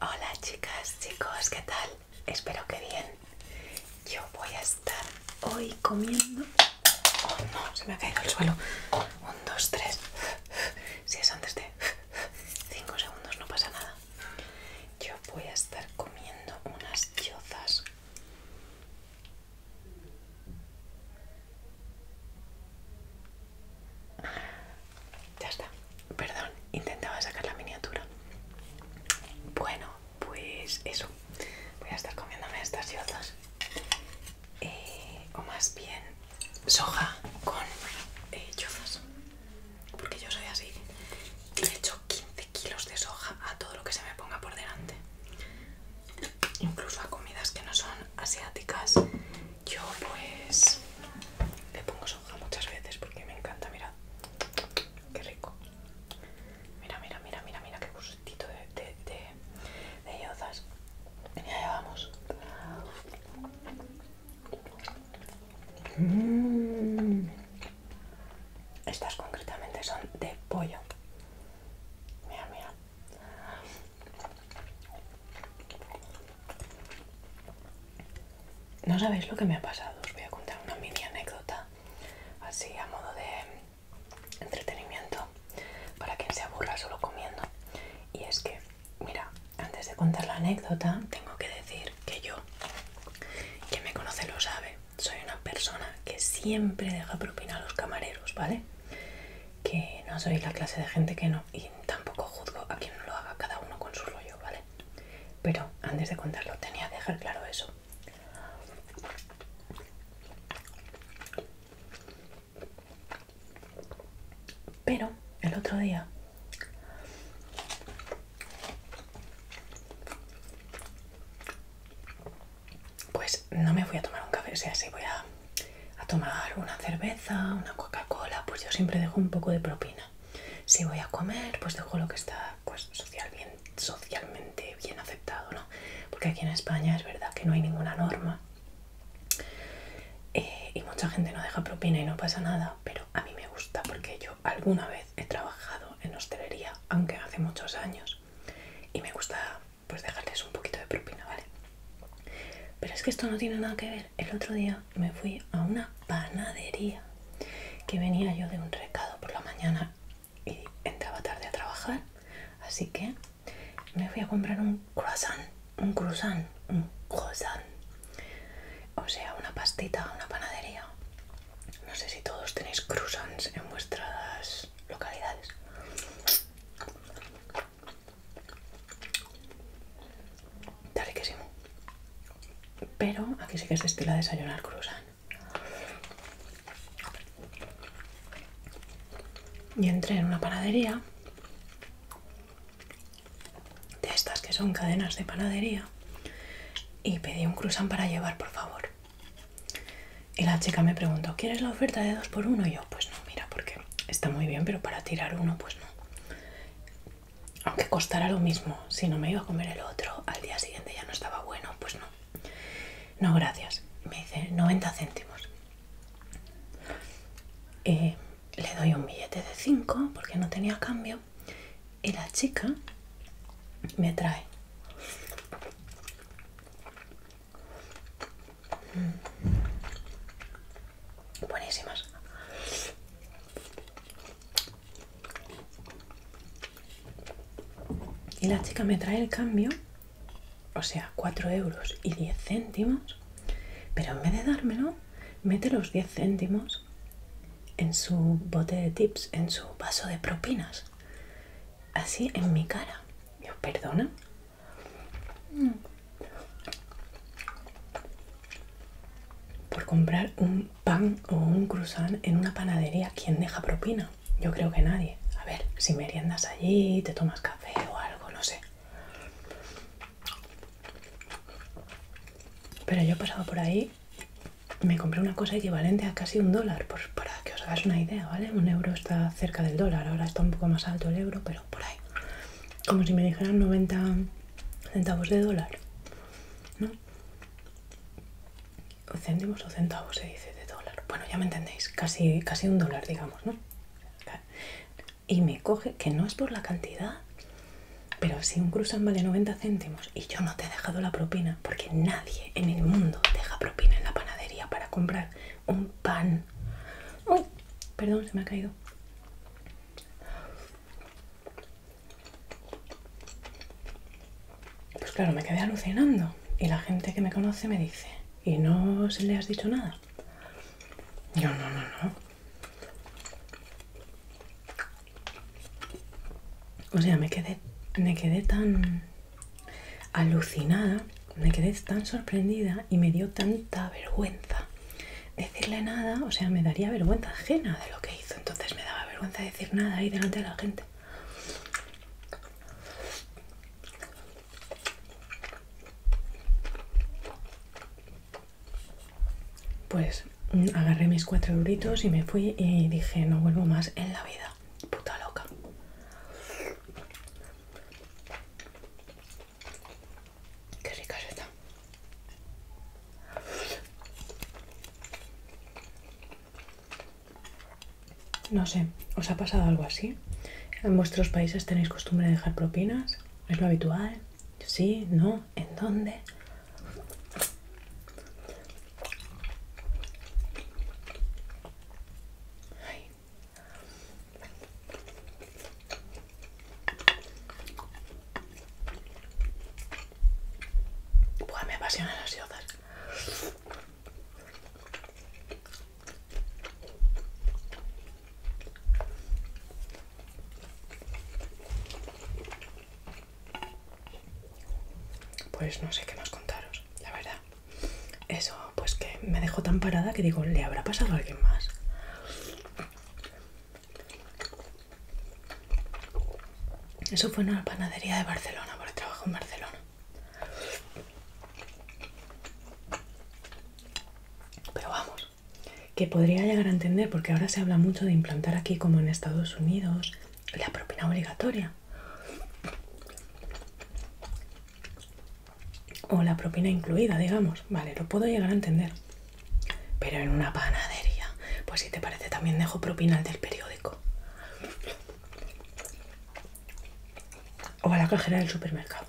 Hola chicas, chicos, ¿qué tal? Espero que bien. Yo voy a estar hoy comiendo... Oh no, se me ha caído el suelo. Un, dos, tres. Si es antes de cinco segundos no pasa nada. Yo voy a estar comiendo unas chozas. Ya está. Perdón, intentaba sacar la miniatura. Bueno, pues eso. Voy a estar comiéndome estas y eh, o más bien soja con eh, Porque yo soy así. He hecho 15 kilos de soja a todo lo que se me ponga por delante. Incluso a comidas que no son asiáticas yo pues le pongo soja muchas veces porque me encanta, mira, qué rico. Mira, mira, mira, mira, mira qué gustito de, de, de, yozas. Ya mm. Estas concretamente son de pollo. Mira, mira. No sabéis lo que me ha pasado, os voy a contar una mini anécdota, así a modo de entretenimiento, para quien se aburra solo comiendo. Y es que, mira, antes de contar la anécdota, tengo que decir que yo, quien me conoce lo sabe, soy una persona que siempre deja propina a los camareros, ¿vale? que no soy la clase de gente que no, y tampoco juzgo a quien no lo haga cada uno con su rollo, ¿vale? Pero antes de contarlo tenía que dejar claro eso. Pero el otro día pues no me voy a tomar un café, si sea, voy a a tomar una cerveza, una Coca-Cola, pues yo siempre dejo un poco de propina. Si voy a comer, pues dejo lo que está pues, social, socialmente bien aceptado, ¿no? Porque aquí en España es verdad que no hay ninguna norma. Eh, y mucha gente no deja propina y no pasa nada, pero a mí me gusta porque yo alguna vez he trabajado en hostelería, aunque hace muchos años, y me gusta pues dejarles un poquito de propina, ¿vale? Pero es que esto no tiene nada que ver. El otro día me fui a una panadería que venía yo de un recado por la mañana y entraba tarde a trabajar. Así que me fui a comprar un croissant, un croissant, un croissant. O sea, una pastita, una panadería. No sé si todos tenéis croissants en vuestras localidades. Está riquísimo. Pero aquí sí que se estila desayunar cruzan. Y entré en una panadería de estas que son cadenas de panadería y pedí un cruzan para llevar, por favor. Y la chica me preguntó, ¿quieres la oferta de 2 por 1 Y yo, pues no, mira, porque está muy bien, pero para tirar uno, pues no. Aunque costara lo mismo, si no me iba a comer el otro, al día siguiente ya no estaba bueno, pues no. No, gracias. Me dice 90 céntimos. le doy un billete de 5 porque no tenía cambio. Y la chica me trae Buenísimas. Y la chica me trae el cambio, o sea, 4 euros y 10 céntimos, pero en vez de dármelo, mete los 10 céntimos en su bote de tips, en su vaso de propinas así en mi cara. yo perdona. Por comprar un pan o un croissant en una panadería, ¿quién deja propina? Yo creo que nadie. A ver, si meriendas allí, te tomas café o algo, no sé. Pero yo he pasado por ahí, me compré una cosa equivalente a casi un dólar por para que os hagáis una idea, ¿vale? Un euro está cerca del dólar, ahora está un poco más alto el euro, pero por ahí. Como si me dijeran 90 centavos de dólar, ¿no? Céntimos o centavos se dice de dólar. Bueno, ya me entendéis, casi, un dólar, digamos, ¿no? Y me coge, que no es por la cantidad, pero si un cruzan vale 90 céntimos y yo no te he dejado la propina, porque nadie en el mundo deja propina en la panadería para comprar un pan. Uy, perdón, se me ha caído. Pues claro, me quedé alucinando y la gente que me conoce me dice, ¿y no se le has dicho nada? Yo no, no, no. O sea, me quedé, me quedé tan Alucinada, me quedé tan sorprendida y me dio tanta vergüenza decirle nada, o sea, me daría vergüenza ajena de lo que hizo, entonces me daba vergüenza decir nada ahí delante de la gente. Pues mm, agarré mis cuatro duritos y me fui y dije, no vuelvo más en la vida puta loca. Qué es esta No sé, ¿os ha pasado algo así? ¿En vuestros países tenéis costumbre de dejar propinas? ¿Es lo habitual? ¿Sí? ¿No? ¿En dónde? Ay. Buah, me apasionan las yozas. Pues no sé qué más contaros, la verdad. Eso, pues que me dejó tan parada que digo, ¿le habrá pasado a alguien más? Eso fue en una panadería de Barcelona, porque trabajo en Barcelona. Pero vamos, que podría llegar a entender, porque ahora se habla mucho de implantar aquí como en Estados Unidos la propina obligatoria o la propina incluida, digamos. Vale, lo puedo llegar a entender. Pero en una panadería, pues si te parece también dejo propina al del periódico. O a la cajera del supermercado.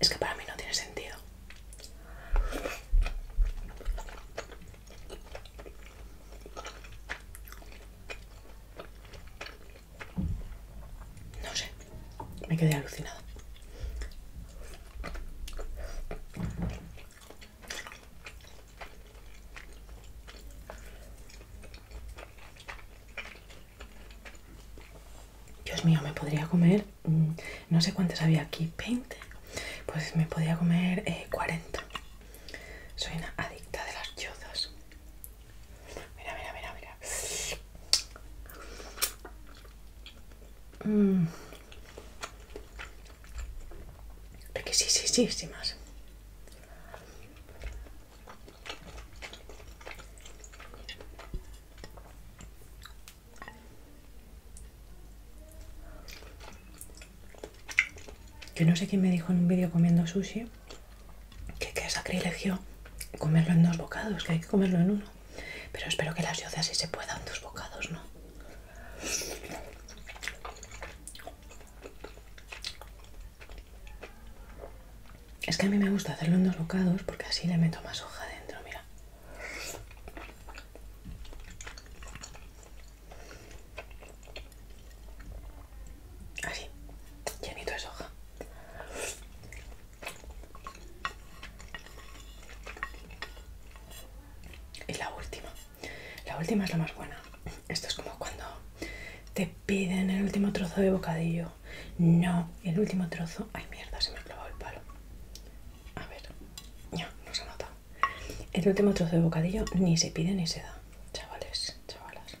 Es que para mí no tiene sentido. No sé, me quedé alucinado. Dios mío, me podría comer Mm, no sé cuántas había aquí, 20, pues me podía comer 40. Eh, Soy una adicta de las yodas Mira, mira, mira, mira. Mmm. Es que sí, sí, sí, sí más. Que no sé quién me dijo en un vídeo comiendo sushi que, es sacrilegio comerlo en dos bocados, que hay que comerlo en uno. Pero espero que las yozas sí se puedan dos bocados, ¿no? Es que a mí me gusta hacerlo en dos bocados porque así le meto más hoja dentro, mira. Así, llenito de hoja Y la última. La última es la más buena. Esto es como cuando te piden el último trozo de bocadillo no, el último trozo. Ay, mierda, se me ha clavado el palo. A ver, ya, no se ha notado. El último trozo de bocadillo ni se pide ni se da. Chavales, chavalas.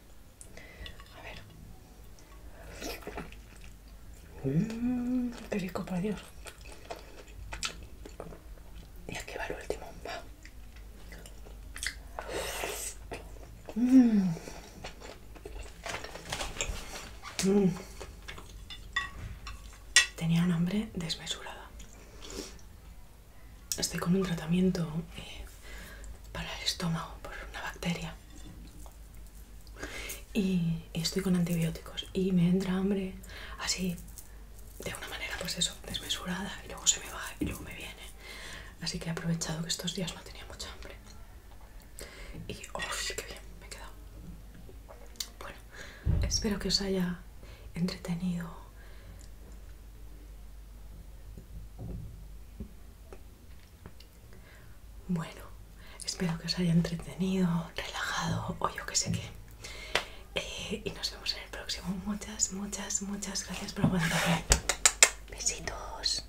A ver. Mmm, qué por Dios. Y aquí va el último. Va. Mmm. Mm. Tenía un hambre desmesurada. Estoy con un tratamiento eh, para el estómago por una bacteria. y estoy con antibióticos y me entra hambre así de una manera pues eso, desmesurada y luego se me va y luego me viene. Así que he aprovechado que estos días no tenía mucha hambre. Y, uff, oh, qué bien, me he quedado. Bueno, espero que os haya entretenido bueno, espero que os haya entretenido, relajado o yo que sé qué. Eh, y nos vemos en el próximo. Muchas, muchas, muchas gracias por aguantarme. Besitos.